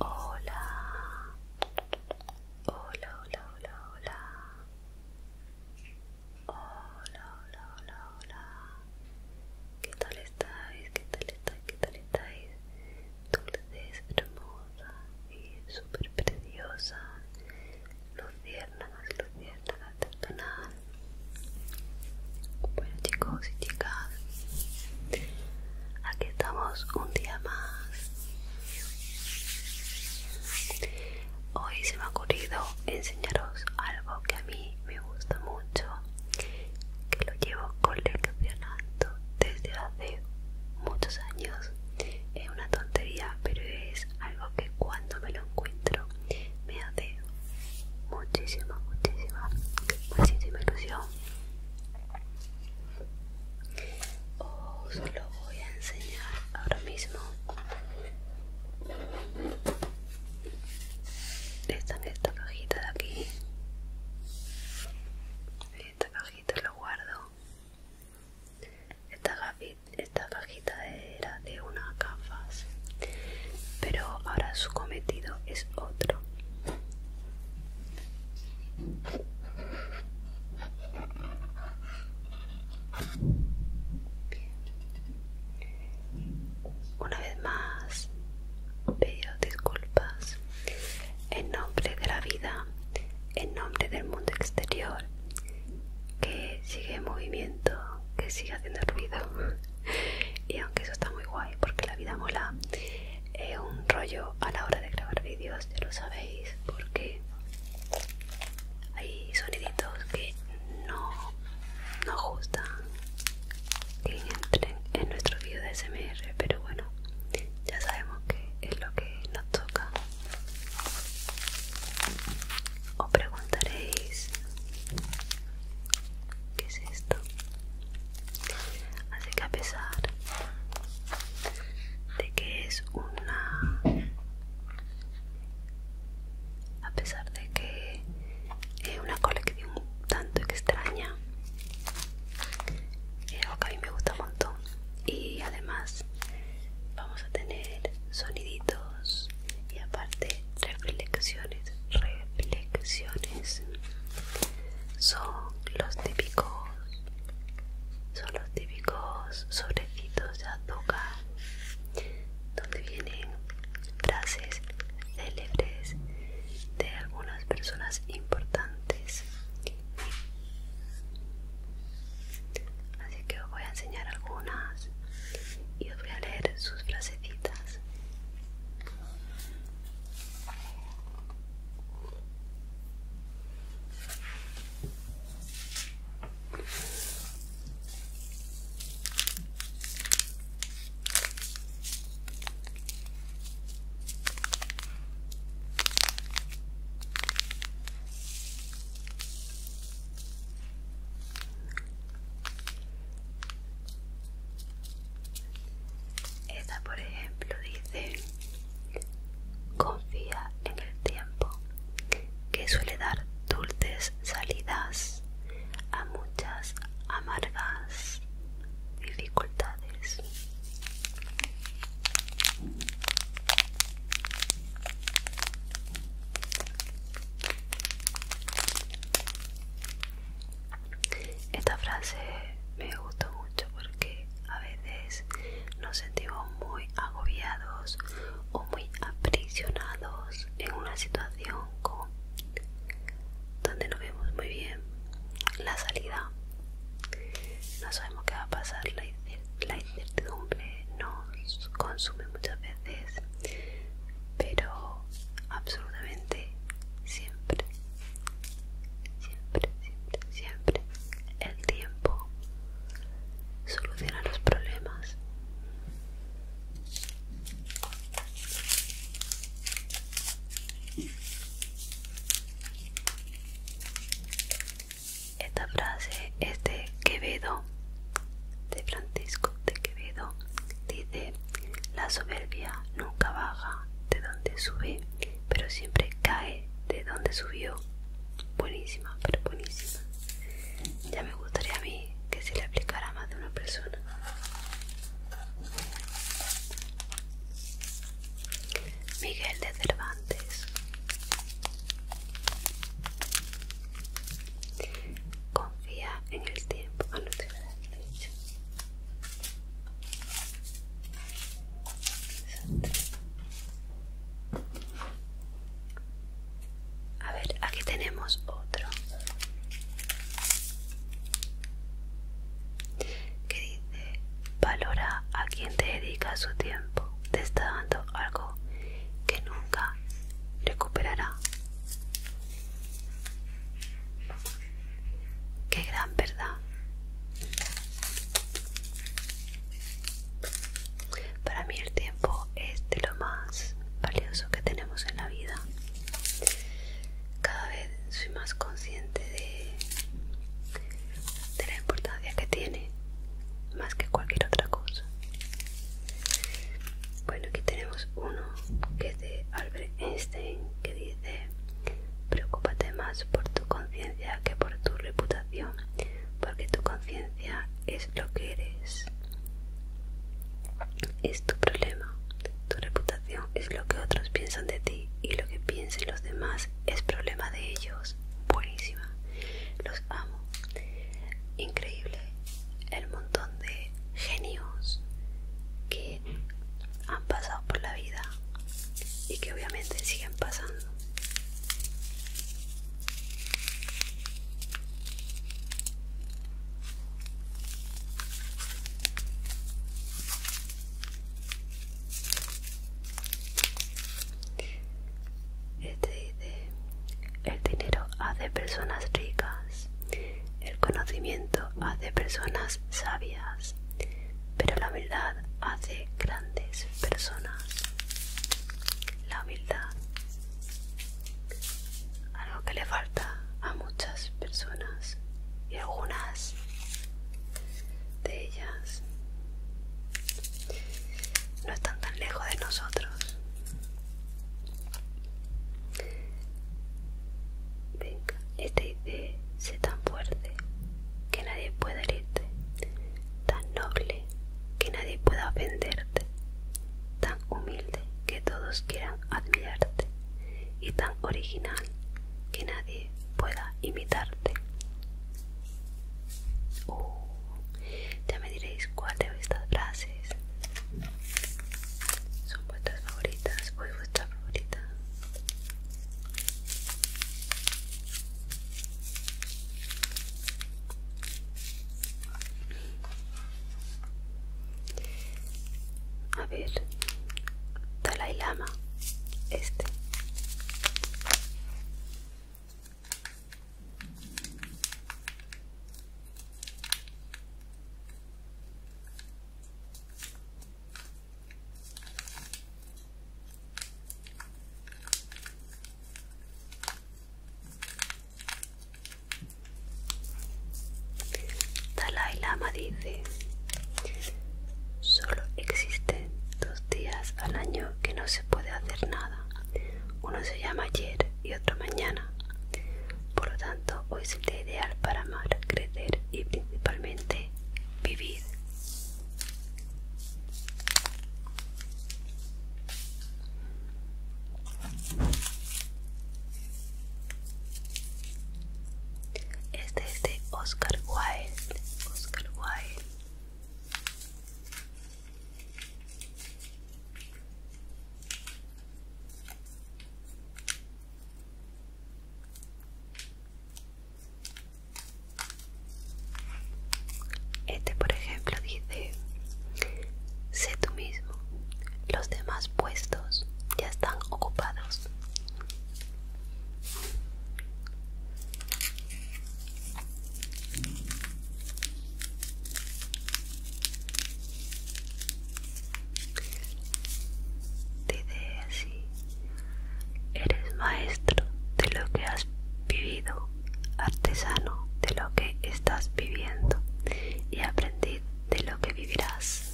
Hola, hola, hola, hola, hola. Hola, hola, hola, hola. ¿Qué tal estáis? ¿Qué tal estáis? ¿Qué tal estáis? dulces, hermosa y súper preciosa, luciérnagas, luciérnagas del Bueno chicos y chicas, aquí estamos un día más. Hoy se me ha ocurrido enseñaros algo que a mí me gusta mucho, que lo llevo con coleccionando desde de muchos años. Es una tontería, pero es algo que cuando me lo encuentro me hace muchísima, muchísima, muchísima ilusión. Os lo voy a enseñar ahora mismo. están esta cajita de aquí esta cajita lo guardo esta, esta cajita era de unas gafas pero ahora su cometido es otro Una vez más, pido disculpas en nombre de la vida, en nombre del mundo exterior, que sigue en movimiento, que sigue haciendo ruido. y aunque eso está muy guay, porque la vida mola, es un rollo a la hora de grabar vídeos, ya lo sabéis, porque hay soniditos que no nos gustan que entren en nuestro vídeo de SMR, pero bueno, ya sabemos que es lo que nos toca. Os preguntaréis, ¿qué es esto? Así que a pesar de que es una... A pesar de que es una colección tanto extraña, es a me gusta un montón y además vamos a tener soniditos y aparte reflexiones reflexiones son los típicos son los típicos sobrecitos de azúcar donde vienen frases célebres de algunas personas importantes así que os voy a enseñar algunas y os voy a leer sus frasecitas esta, por ejemplo, dice, confía en el tiempo, que suele dar dulces salidas a muchas amargas dificultades. Esta frase me gustó mucho porque a veces nos sentimos muy agobiados o muy aprisionados en una situación con donde no vemos muy bien la salida no sabemos qué va a pasar la incertidumbre nos consume muchas veces pero absolutamente siempre siempre siempre siempre el tiempo soluciona los problemas esta frase es de Quevedo, de Francisco de Quevedo. Dice, la soberbia nunca baja de donde sube, pero siempre cae de donde subió. Buenísima, pero buenísima. Ya me gustaría a mí que se le aplicara a más de una persona. Miguel de Cervantes Confía en el tiempo a A ver, aquí tenemos otro que dice valora a quien te dedica su tiempo te está dando algo que nunca recuperará qué gran verdad para mí el tiempo es de lo más valioso que tenemos en la vida cada vez soy más consciente de, la importancia que tiene más que cualquier otra cosa bueno aquí tenemos uno que es de Albert Einstein que dice preocúpate más por tu conciencia que por tu reputación porque tu conciencia es lo que eres es tu problema tu reputación es lo que otros piensan de ti y lo que piensen los demás es problema de ellos. Buenísima. Los amo. Increíble el montón de genios que han pasado por la vida y que obviamente siguen pasando. Este dice, el dinero hace personas ricas, el conocimiento hace personas sabias, pero la humildad hace grandes personas. La humildad algo que le falta a muchas personas y algunas de ellas no están tan lejos de nosotros. Venga, este idea sea tan fuerte que nadie pueda herirte, tan noble que nadie pueda ofenderte, tan humilde que todos quieran admirarte, y tan original que nadie pueda imitarte. Uh, ya me diréis cuál de estas frases son vuestras favoritas o es vuestra favorita. A ver, Dalai Lama, este. Dalai Lama dice, solo existen dos días al año que no se puede hacer nada. Uno se llama ayer y otro mañana. Por lo tanto, hoy es el día ideal para amar, crecer y principalmente vivir. Este es de este Oscar Wilde. Oscar Wilde. Este por ejemplo dice, sé tú mismo, los demás puestos ya están ocupados. así, eres maestro de lo que has vivido, artesano de lo que estás viviendo y aprendiz de lo que vivirás.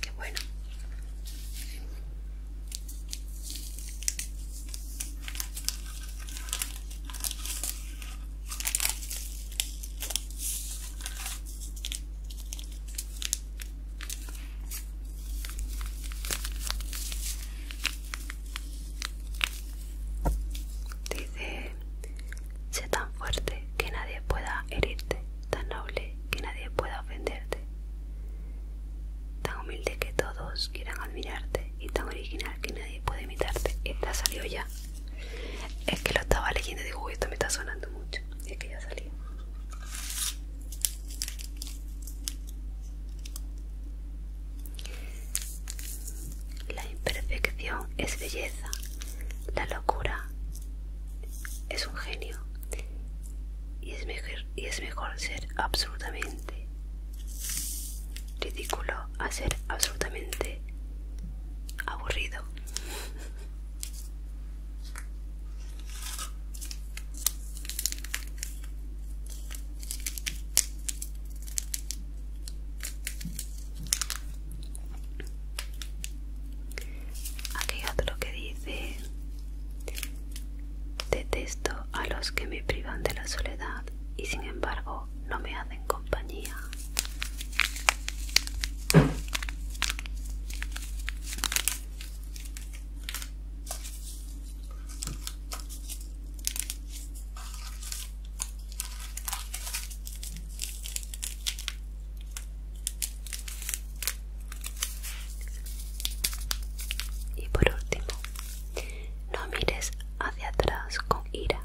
Qué bueno. Dice, sé tan fuerte que nadie pueda herirte, tan noble que nadie pueda ofenderte, tan humilde que todos quieran admirarte y tan original que nadie puede imitarte. Esta salió ya. Es que lo estaba leyendo y digo, esto me está sonando mucho. Y es que ya salió. La imperfección es belleza, la locura es un genio y es mejor, ser absolutamente ridículo a ser absolutamente aburrido. Aquí lo que dice, detesto a los que me privan de la soledad y sin embargo no me hacen compañía. Y por último, no mires hacia atrás con ira,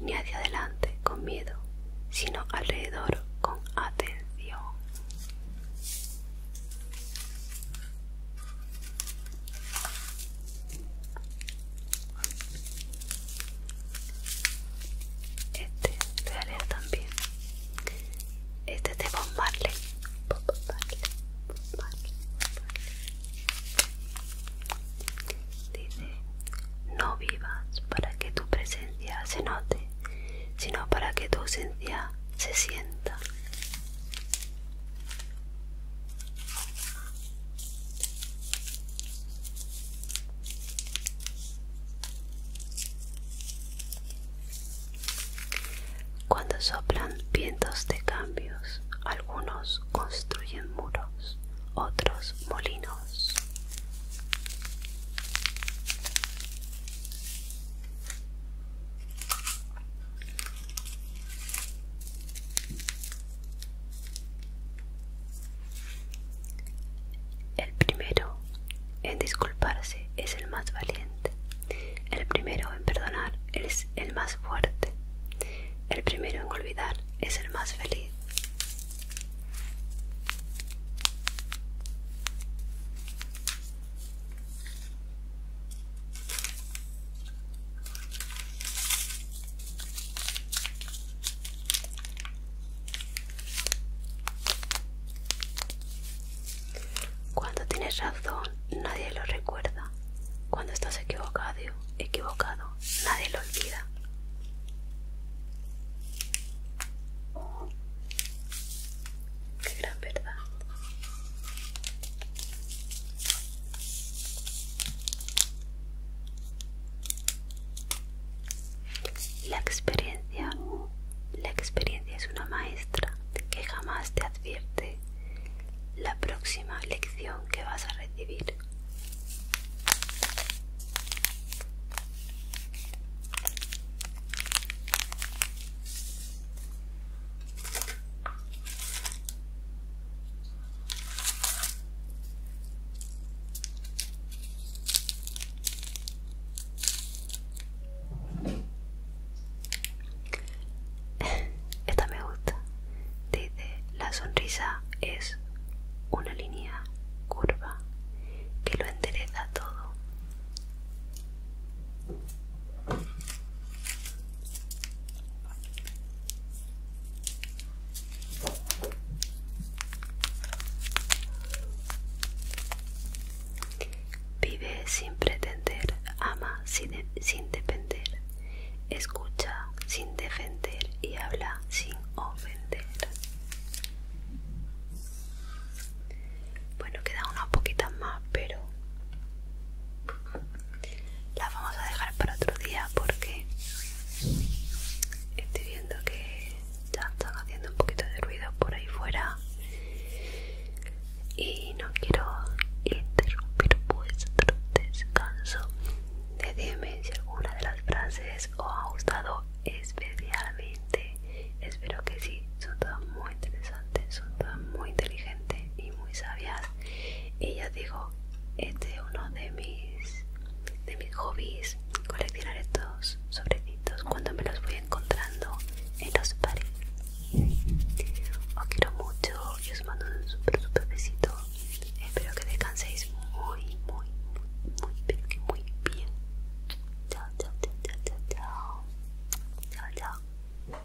ni hacia adelante con miedo, sino alrededor con atención. Este te haré también. Este es de Bob Dice, no vivas para que tu presencia se note, sino para que tu ausencia se sienta. Cuando soplan vientos de cambios, algunos construyen muros, otros molinos. El primero en disculparse es el más valiente. El primero en perdonar es el más fuerte. El primero en olvidar es el más feliz. Cuando tienes razón, nadie lo recuerda. Cuando estás equivocado, equivocado, nadie lo olvida. Qué gran verdad. La experiencia, la experiencia es una maestra que jamás te advierte la próxima lección que vas a recibir. Esta me gusta. Dice, la sonrisa es una línea curva que lo endereza todo. Vive sin pretender, ama sin, depender, escucha sin defender y habla sin ofender. Bueno, quedan unas poquitas más, pero las vamos a dejar para otro día porque estoy viendo que ya están haciendo un poquito de ruido por ahí fuera y no quiero interrumpir vuestro descanso. Decidme si alguna de las frases os ha gustado especialmente. Espero que sí, son todas muy interesantes, son todas muy inteligentes y muy sabias. Y ya digo, este es uno de mis de mis hobbies coleccionar estos sobrecitos cuando me los voy encontrando en los pares os quiero mucho y os mando un super super besito espero que descanséis muy muy muy pero muy bien chao chao chao chao chao chao chao